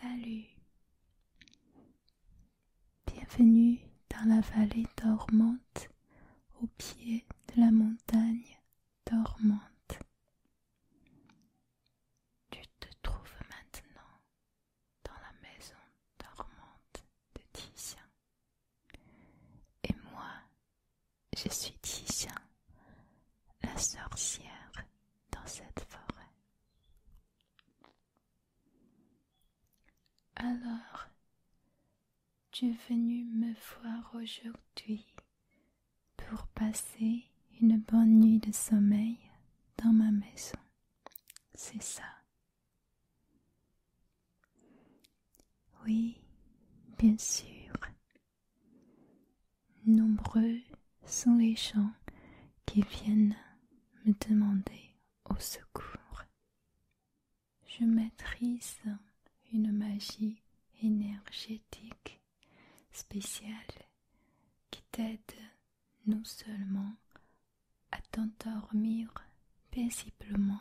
Salut, bienvenue dans la vallée dormante au pied de la montagne dormante. Tu te trouves maintenant dans la maison dormante de Titien. Et moi, je suis Titien, la sorcière dans cette forêt. Alors, tu es venu me voir aujourd'hui pour passer une bonne nuit de sommeil dans ma maison. C'est ça. Oui, bien sûr. Nombreux sont les gens qui viennent me demander au secours. Je maîtrise une magie énergétique spécial qui t'aide non seulement à t'endormir paisiblement,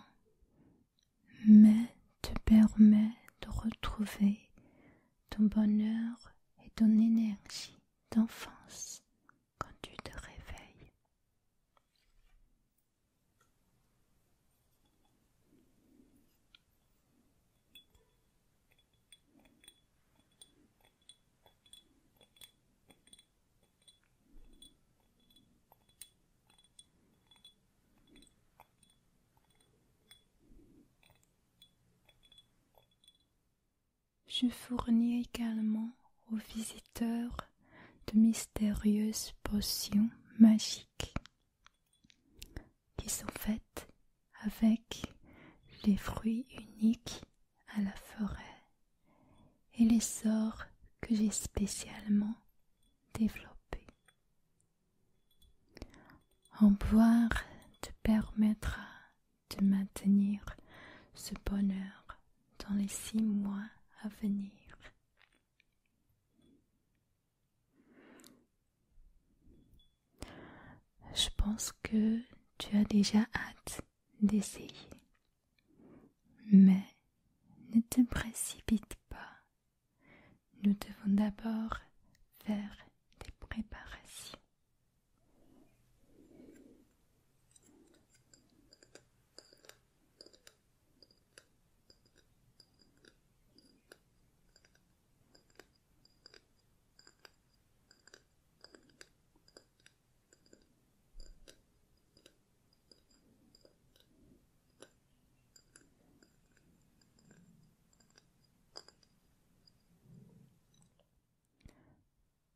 mais te permet de retrouver ton bonheur et ton énergie d'enfance quand tu te réveilles. Je fournis également aux visiteurs de mystérieuses potions magiques qui sont faites avec les fruits uniques à la forêt et les sorts que j'ai spécialement développés. En boire te permettra de maintenir ce bonheur dans les six mois à venir. Je pense que tu as déjà hâte d'essayer. Mais ne te précipite pas. Nous devons d'abord faire des préparations.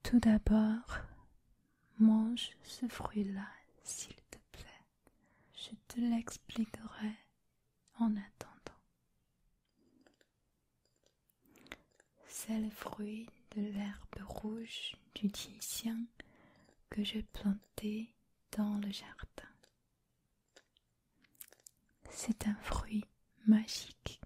Tout d'abord, mange ce fruit-là, s'il te plaît. Je te l'expliquerai en attendant. C'est le fruit de l'herbe rouge du Titien que j'ai planté dans le jardin. C'est un fruit magique.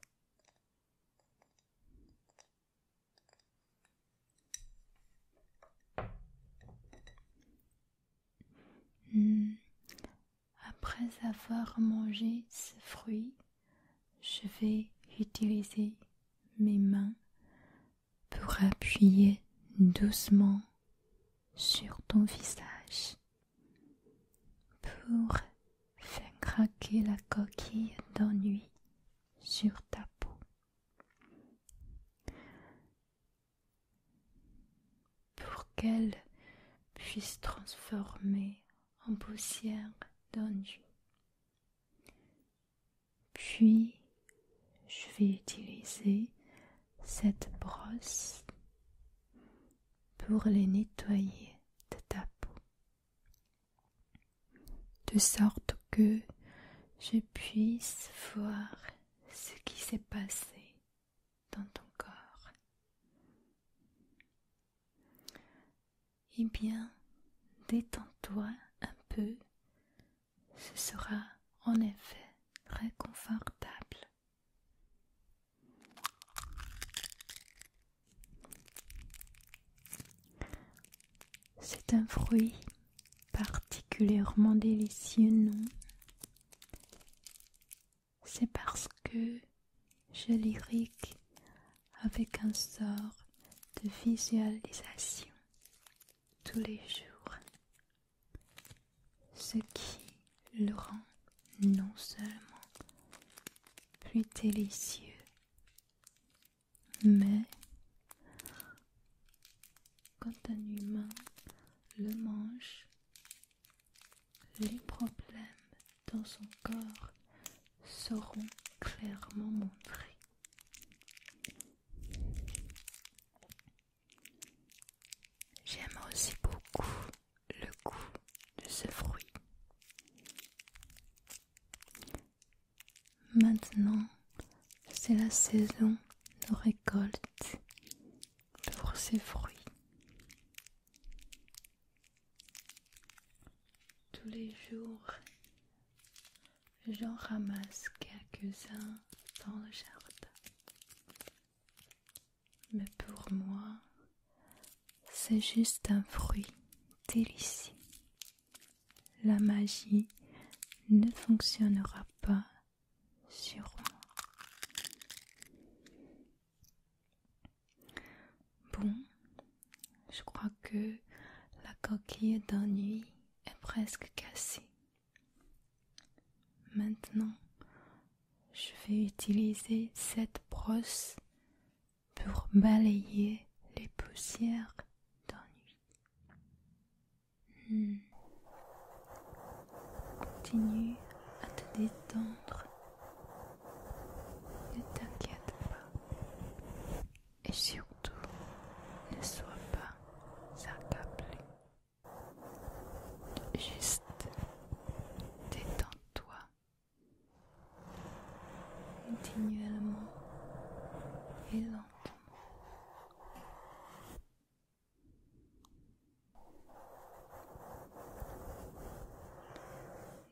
Hmm. Après avoir mangé ce fruit, je vais utiliser mes mains pour appuyer doucement sur ton visage pour faire craquer la coquille d'ennui sur ta peau pour qu'elle puisse transformer en poussière d'enduit. Puis je vais utiliser cette brosse pour les nettoyer de ta peau, de sorte que je puisse voir ce qui s'est passé dans ton corps. Et eh bien, détends-toi un peu, ce sera en effet très confortable. C'est un fruit particulièrement délicieux, non C'est parce que je lyrique avec un sort de visualisation tous les jours, ce qui le rend non seulement plus délicieux, mais quand un humain le mange, les problèmes dans son corps seront clairement montrés. J'aime aussi beaucoup le goût de ce fruit. Maintenant, c'est la saison de récolte pour ces fruits. Tous les jours, j'en ramasse quelques-uns dans le jardin. Mais pour moi, c'est juste un fruit délicieux. La magie ne fonctionnera pas sur moi. Bon, je crois que la coquille d'ennui est presque cassée. Maintenant, je vais utiliser cette brosse pour balayer les poussières d'ennui. Hmm. Continue à te détendre. Ne t'inquiète pas. Et surtout, ne sois pas accablé. Juste détends-toi. Continuellement et lentement.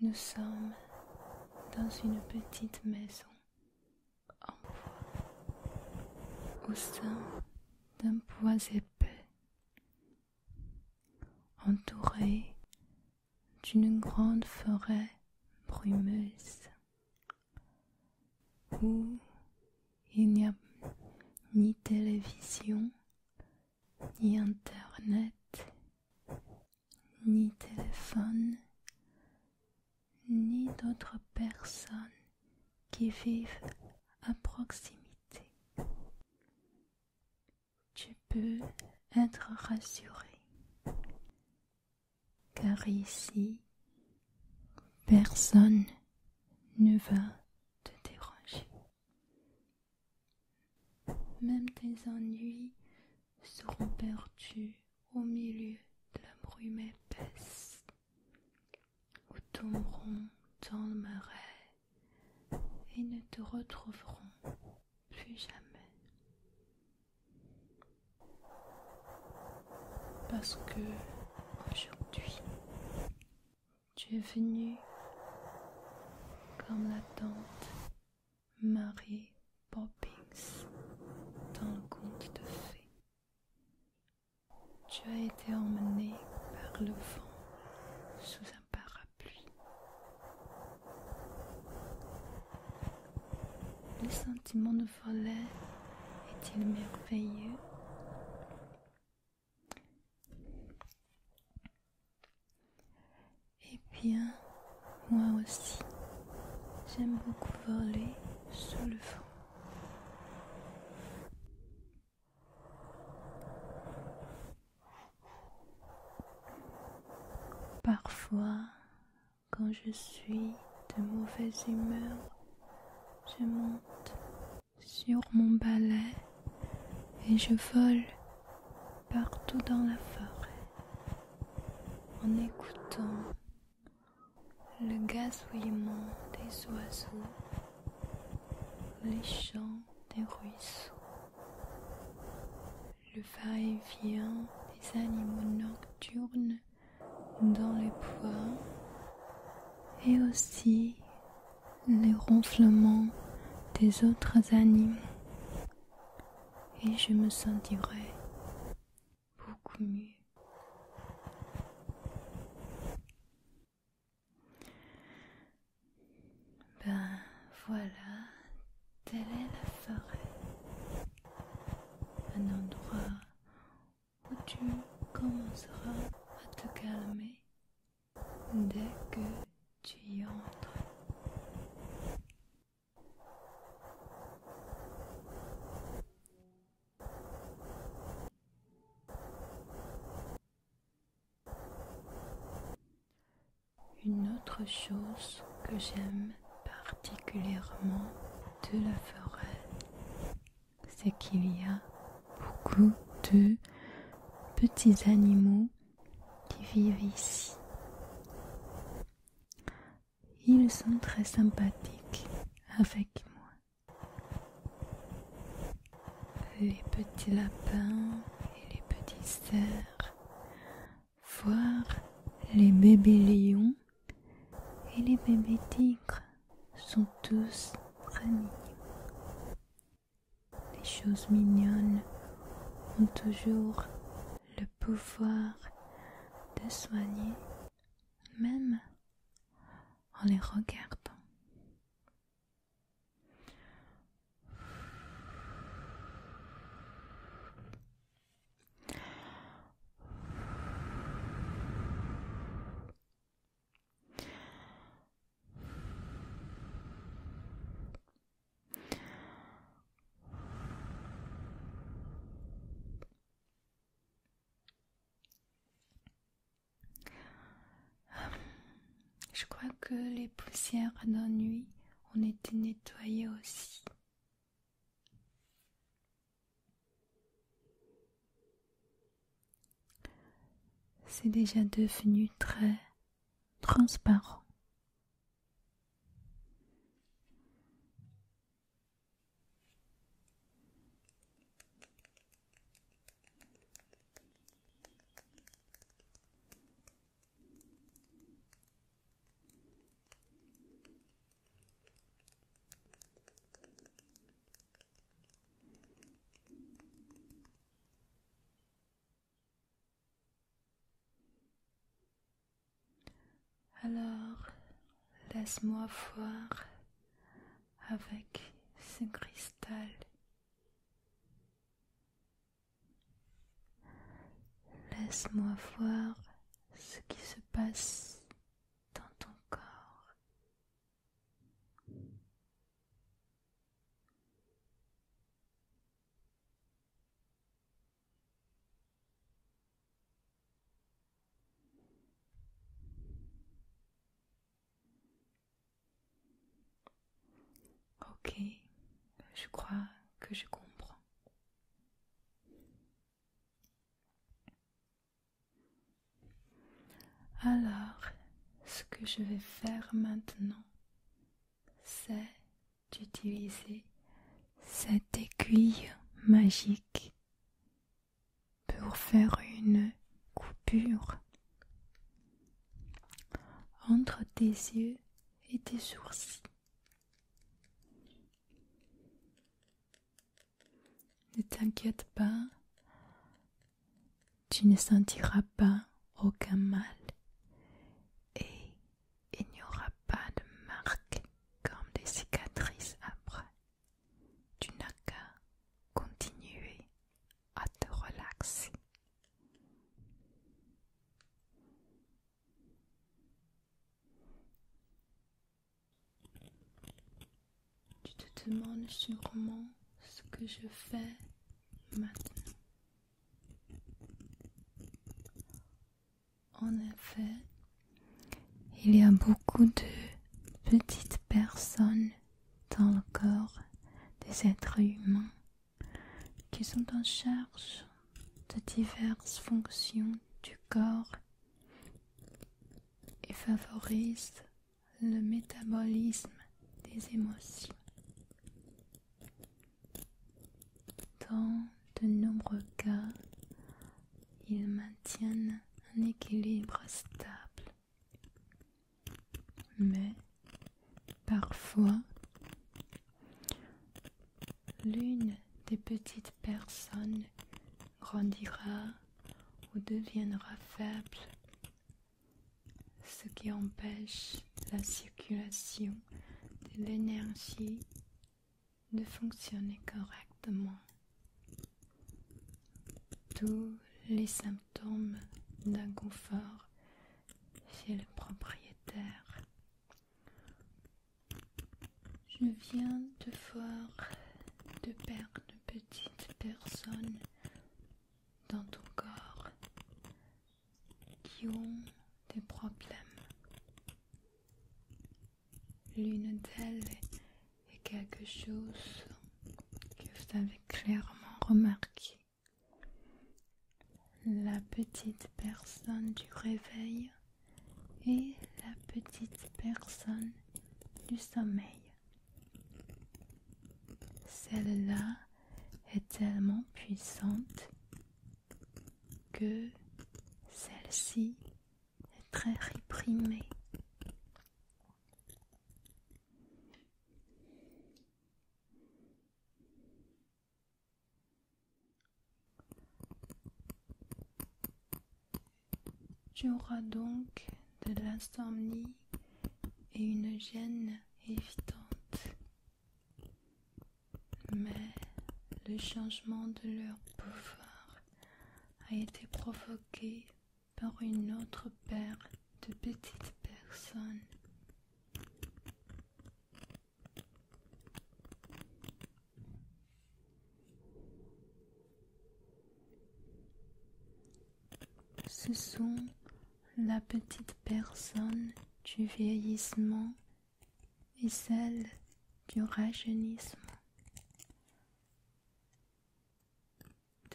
Nous sommes dans une petite maison en bois, au sein d'un bois épais, entouré d'une grande forêt brumeuse où il n'y a ni télévision, ni internet, ni téléphone, ni d'autres personnes qui vivent à proximité. Tu peux être rassuré car ici personne ne va te déranger. Même tes ennuis seront perdus au milieu de la brume épaisse, ou tomberont dans le marais et ne te retrouveront plus jamais. Parce que aujourd'hui, tu es venu comme la tante Marie Poppins dans le conte de fées. Tu as été emmené par le vent sous un parapluie. Les sentiments volet est-il merveilleux Eh bien, moi aussi, j'aime beaucoup voler sous le fond. Parfois, quand je suis de mauvaise humeur, je monte sur mon balai et je vole partout dans la forêt en écoutant le gazouillement des oiseaux, les chants des ruisseaux, le va-et-vient des animaux nocturnes dans les poids et aussi les ronflements des autres animaux et je me sentirai beaucoup mieux. Ben voilà, Telle est la forêt, un endroit où tu commenceras à te calmer dès que tu y entres. Une autre chose que j'aime particulièrement de la forêt, c'est qu'il y a beaucoup de petits animaux qui vivent ici. Ils sont très sympathiques avec moi. Les petits lapins et les petits cerfs voir les bébés lions et les bébés tigres sont tous très mignons. Les choses mignonnes ont toujours le pouvoir de soigner, même en les regardant. Je crois que les poussières d'ennui ont été nettoyées aussi. C'est déjà devenu très transparent. Alors, laisse-moi voir avec ce cristal Laisse-moi voir ce qui se passe dans ton corps. Ok, je crois que je comprends. Alors, ce que je vais faire maintenant, c'est d'utiliser cette aiguille magique pour faire une coupure entre tes yeux et tes sourcils. Ne t'inquiète pas, tu ne sentiras pas aucun mal et il n'y aura pas de marques comme des cicatrices après. Tu n'as qu'à continuer à te relaxer. Tu te demandes sûrement ce que je fais maintenant. En effet, il y a beaucoup de petites personnes dans le corps des êtres humains qui sont en charge de diverses fonctions du corps et favorisent le métabolisme des émotions. Dans de nombreux cas, ils maintiennent un équilibre stable. Mais parfois, l'une des petites personnes grandira ou deviendra faible, ce qui empêche la circulation de l'énergie de fonctionner correctement. Tous les symptômes d'inconfort chez le propriétaire je viens de voir de paires de petites personnes dans ton corps qui ont des problèmes. L'une d'elles est quelque chose que vous avez clairement remarqué la petite personne du réveil et la petite personne du sommeil. Celle-là est tellement puissante que celle-ci est très réprimée. Tu auras donc de l'insomnie et une gêne évitante. Mais le changement de leur pouvoir a été provoqué par une autre paire de petites personnes ce sont la petite personne du vieillissement et celle du rajeunissement.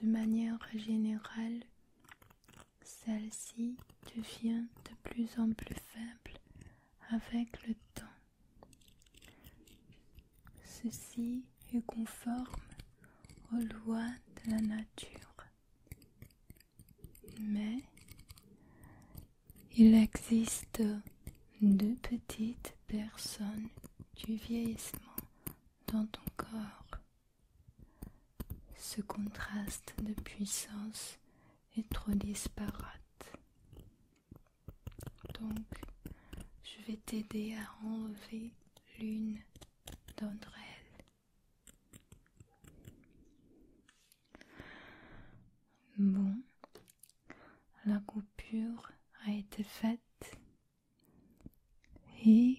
De manière générale, celle-ci devient de plus en plus faible avec le temps. Ceci est conforme aux lois de la nature. Mais il existe deux petites personnes du vieillissement dans ton corps. Ce contraste de puissance est trop disparate. Donc, je vais t'aider à enlever l'une d'entre elles. Bon, la coupure a été faite et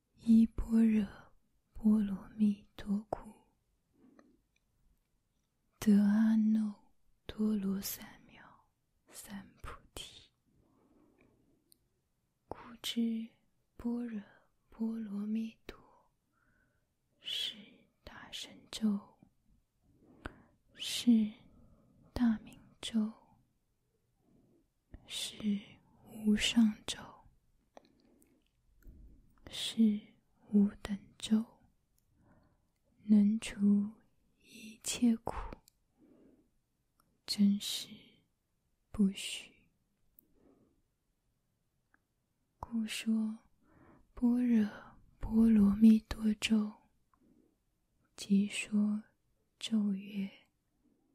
依般若波罗蜜多故，得阿耨多罗三藐三菩提。故知般若波罗蜜多，是大神咒，是大明咒。是无上咒，是无等咒，能除一切苦，真实不虚。故说般若波罗蜜多咒，即说咒曰。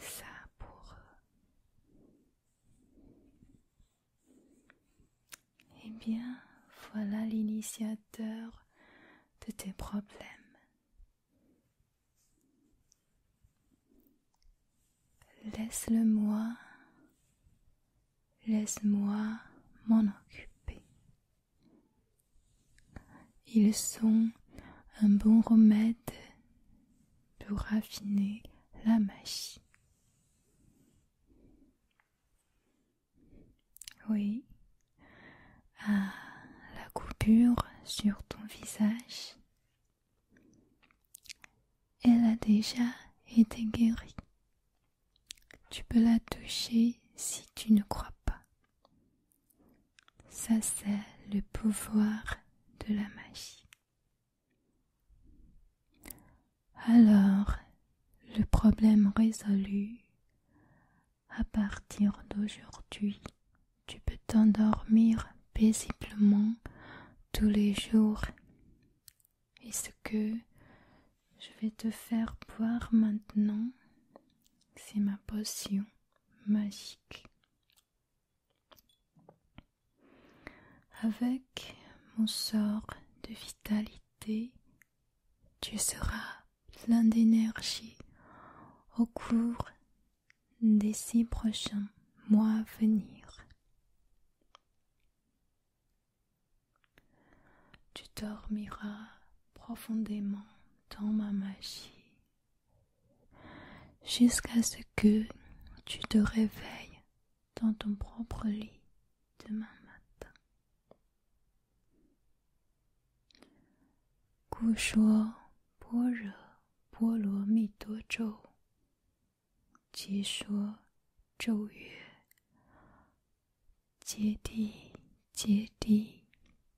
ça pour eux. Eh bien, voilà l'initiateur de tes problèmes. Laisse-le-moi, laisse-moi m'en occuper. Ils sont un bon remède pour raffiner la magie. Oui, la coupure sur ton visage, elle a déjà été guérie. Tu peux la toucher si tu ne crois pas. Ça, c'est le pouvoir de la magie. Alors, le problème résolu, à partir d'aujourd'hui, tu peux t'endormir paisiblement tous les jours. Et ce que je vais te faire boire maintenant, c'est ma potion magique. Avec mon sort de vitalité, tu seras plein d'énergie au cours des six prochains mois à venir. Tu dormiras profondément dans ma magie Jusqu'à ce que tu te réveilles dans ton propre lit demain matin. Gu Shuo, Boro, Mito Mi Duo Zhou, Ji Shuo,